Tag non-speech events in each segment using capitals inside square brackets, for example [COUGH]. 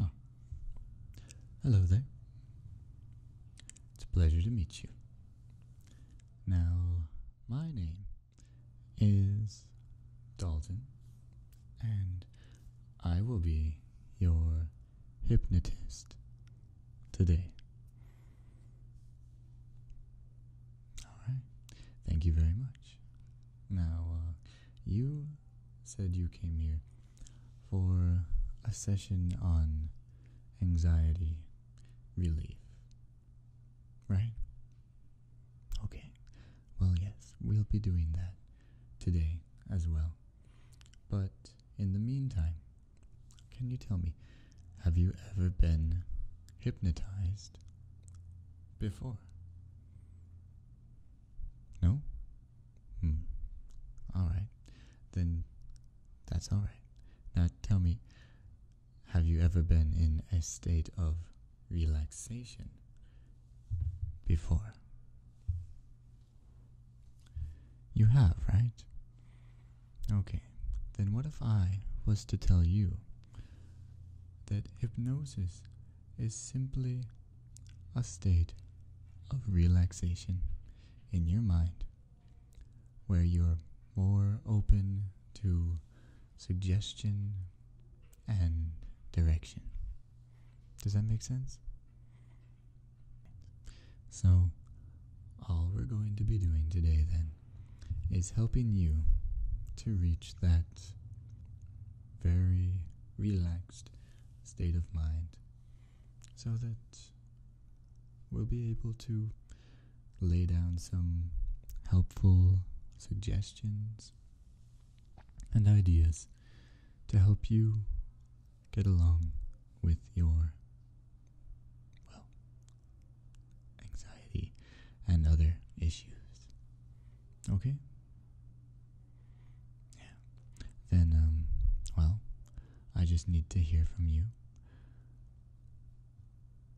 Oh. hello there. It's a pleasure to meet you. Now, my name is Dalton, and I will be your hypnotist today. All right. Thank you very much. Now, uh, you said you came here for a session on anxiety relief, right? Okay. Well, yes, we'll be doing that today as well. But in the meantime, can you tell me, have you ever been hypnotized before? No? Hmm. Alright. Then that's alright. Now tell me, have you ever been in a state of relaxation before? You have, right? Okay. Then what if I was to tell you that hypnosis is simply a state of relaxation in your mind where you're more open to suggestion and direction. Does that make sense? So, all we're going to be doing today then is helping you to reach that very relaxed state of mind so that we'll be able to lay down some helpful suggestions and ideas to help you get along with your, well, anxiety, and other issues. Okay? Yeah. Then, um, well, I just need to hear from you.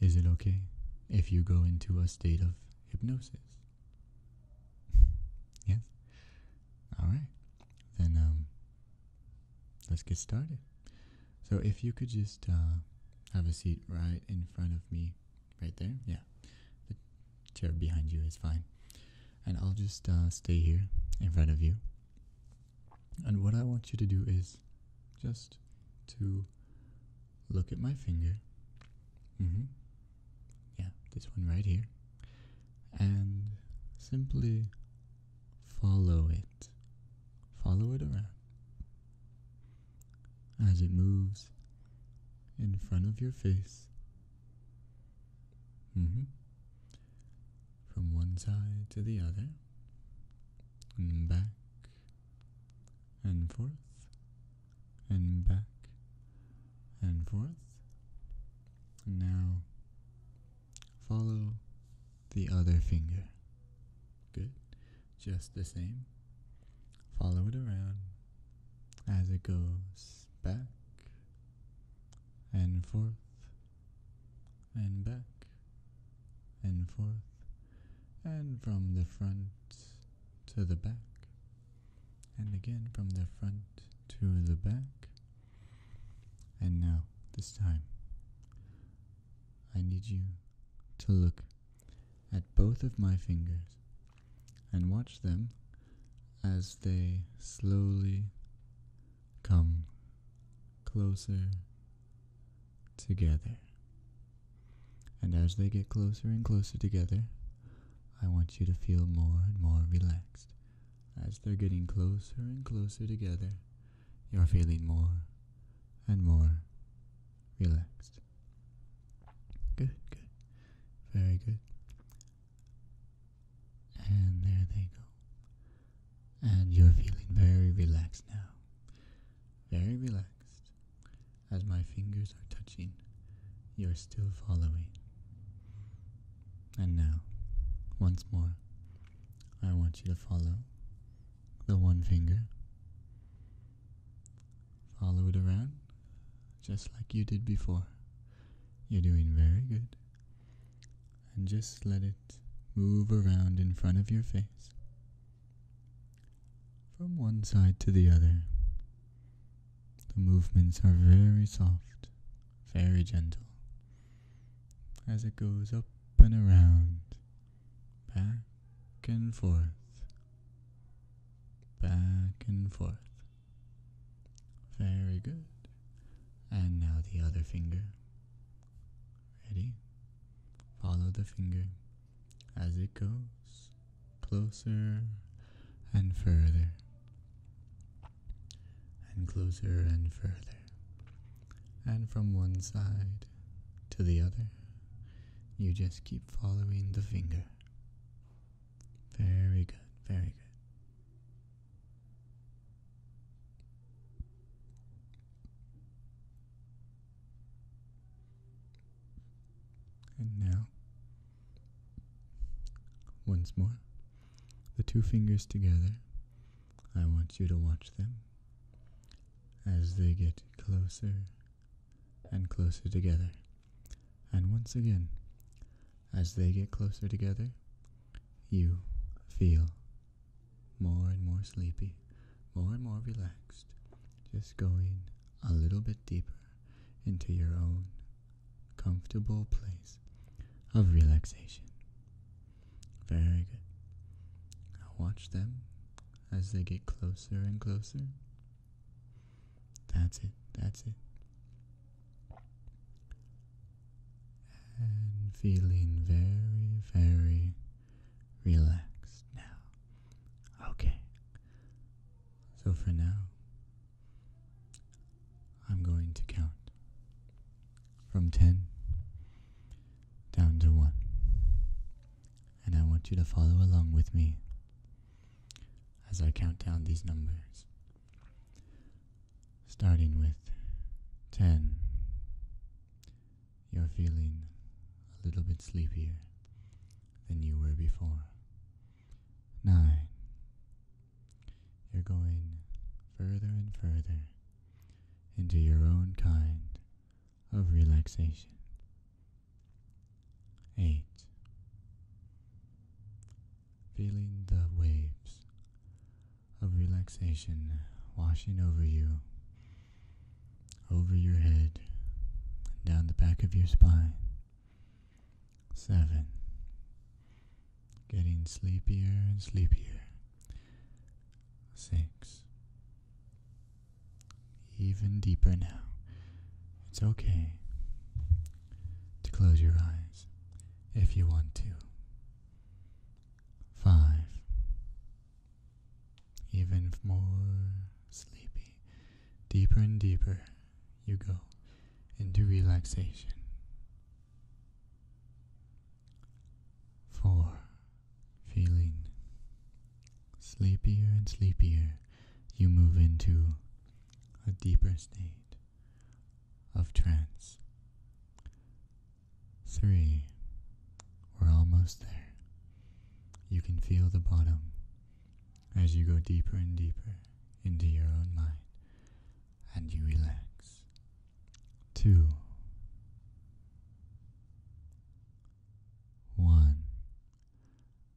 Is it okay if you go into a state of hypnosis? [LAUGHS] yes? Alright. Then, um, let's get started. So if you could just uh, have a seat right in front of me, right there. Yeah, the chair behind you is fine. And I'll just uh, stay here in front of you. And what I want you to do is just to look at my finger. Mm-hmm. Yeah, this one right here. And simply follow it follow it around. As it moves in front of your face, mm-hmm. from one side to the other, and back and forth, and back and forth. now follow the other finger Good. Just the same. Follow it around as it goes back and forth and back and forth and from the front to the back and again from the front to the back. And now, this time, I need you to look at both of my fingers and watch them as they slowly come closer together. And as they get closer and closer together, I want you to feel more and more relaxed. As they're getting closer and closer together, you're feeling more and more relaxed. Good, good, very good. And there they go. And you're feeling very relaxed now. Very relaxed. As my fingers are touching, you're still following. And now, once more, I want you to follow the one finger. Follow it around just like you did before. You're doing very good. And just let it move around in front of your face from one side to the other. The movements are very soft, very gentle as it goes up and around, back and forth, back and forth. Very good. And now the other finger. Ready? Follow the finger as it goes closer and further and closer and further, and from one side to the other. You just keep following the finger. Very good, very good. And now, once more, the two fingers together I want you to watch them as they get closer and closer together. And once again, as they get closer together, you feel more and more sleepy, more and more relaxed, just going a little bit deeper into your own comfortable place of relaxation. Very good. Now watch them as they get closer and closer. That's it, that's it. And feeling very, very relaxed now. Okay. So for now, I'm going to count from 10 down to 1. And I want you to follow along with me as I count down these numbers. Starting with 10, you're feeling a little bit sleepier than you were before. 9, you're going further and further into your own kind of relaxation. 8. Feeling the waves of relaxation washing over you, over your head, down the back of your spine, seven. Getting sleepier and sleepier. Six. Even deeper now. It's okay to close your eyes if you want to. Five. Even more sleepy. Deeper and deeper you go into relaxation. Four, feeling sleepier and sleepier, you move into a deeper state of trance. Three, we're almost there. You can feel the bottom as you go deeper and deeper into your own mind and you relax. Two, one,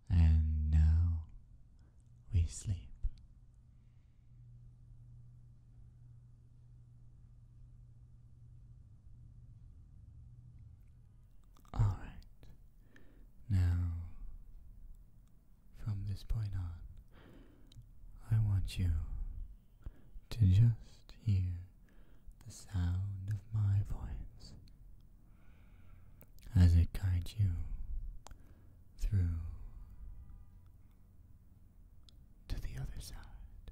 and now we sleep. All right. Now from this point on, I want you to just hear the sound of my voice as it guides you through to the other side.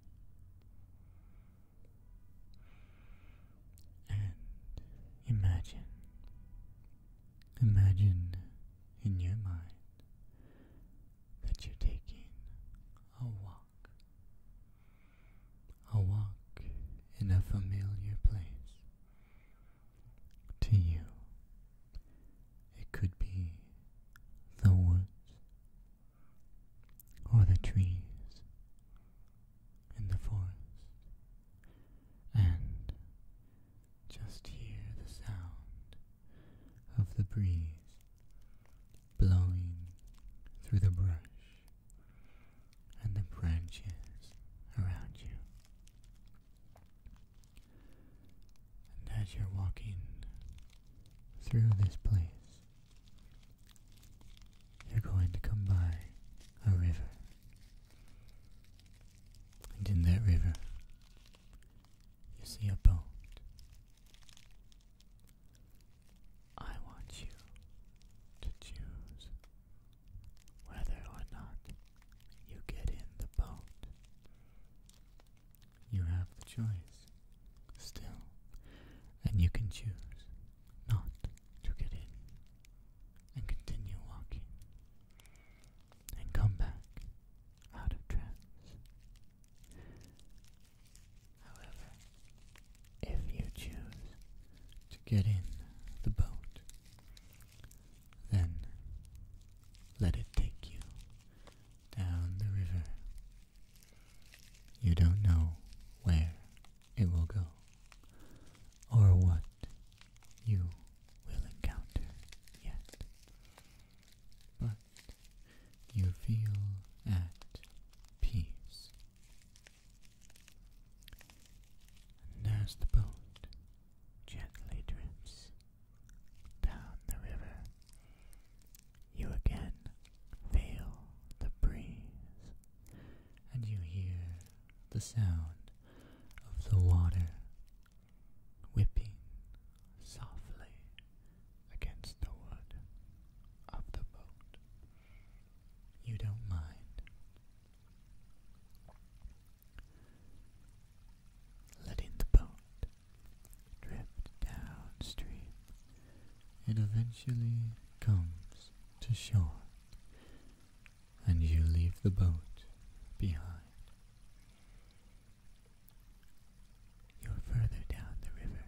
And imagine Imagine in your mind that you're taking a walk, a walk in a familiar place to you. It could be the woods or the trees in the forest and just hear the sound of the breeze blowing through the brush and the branches around you. And as you're walking through this place, you're going to come by a river. And in that river, you see a boat. I want you to choose whether or not you get in the boat. You have the choice still, and you can choose not to get in and continue walking and come back out of trance. However, if you choose to get in the boat, then let it take you down the river. You don't know where it will go or what you will encounter yet, but you feel at peace. And as the boat gently drifts down the river, you again feel the breeze and you hear the sound of the water whipping softly against the wood of the boat. You don't mind. Letting the boat drift downstream, it eventually comes to shore and you leave the boat behind. You're further down the river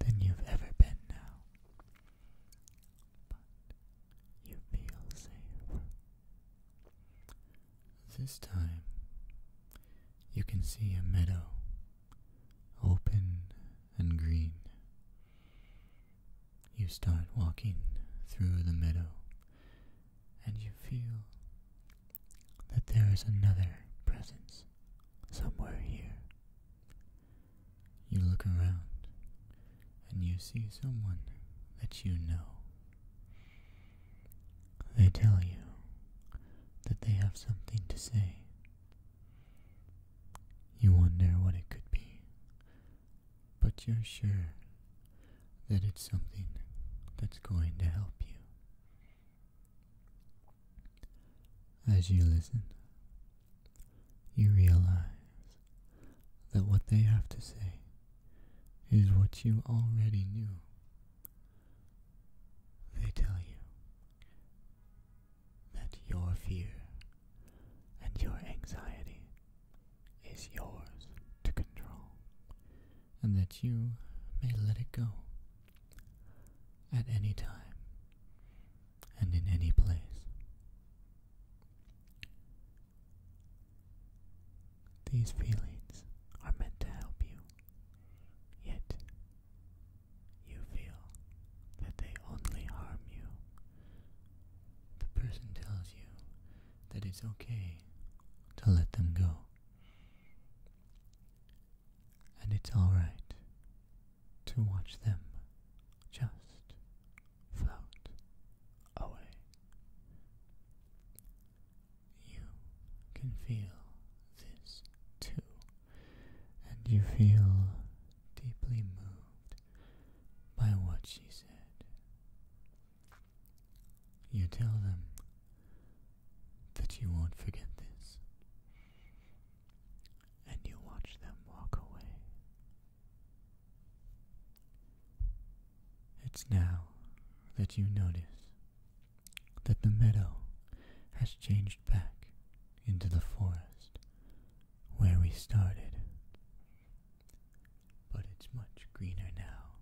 than you've ever been now, but you feel safe. This time you can see a meadow open and green. You start walking through the meadow and you feel that there is another presence somewhere here. You look around and you see someone that you know. They tell you that they have something to say. You wonder what it could be, but you're sure that it's something that's going to help you. As you listen, you realize that what they have to say is what you already knew. They tell you that your fear and your anxiety is yours to control, and that you may let it go at any time and in any place. These feelings are meant to help you Yet, you feel that they only harm you. The person tells you that it's okay to let them go. And it's alright to watch them just float away. You can feel this too and you feel deeply moved by what she said. You tell them that you won't forget this, and you watch them walk away. It's now that you notice that the meadow has changed back into the forest where we started. But it's much greener now.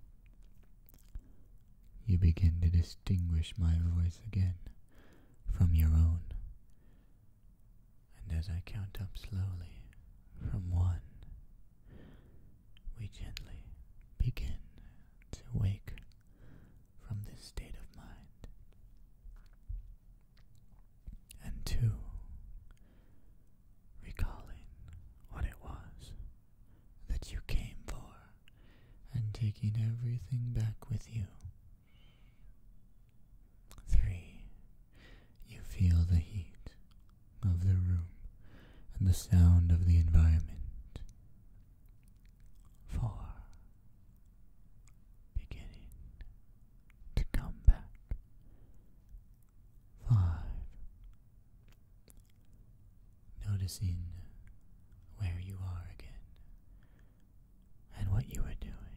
You begin to distinguish my voice again from your own. And as I count up slowly from one, we gently begin to wake from this state of mind. And two, recalling what it was that you came for and taking everything back with you. Three, you feel the heat of the room and the sound of the environment for beginning to come back. Five, noticing where you are again and what you are doing.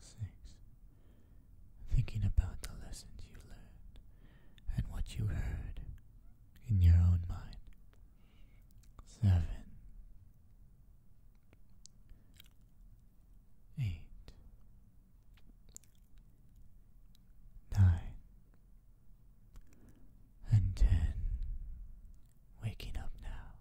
Six, thinking about the lessons you learned and what you heard in your own mind. Seven, eight, nine, and ten. Waking up now.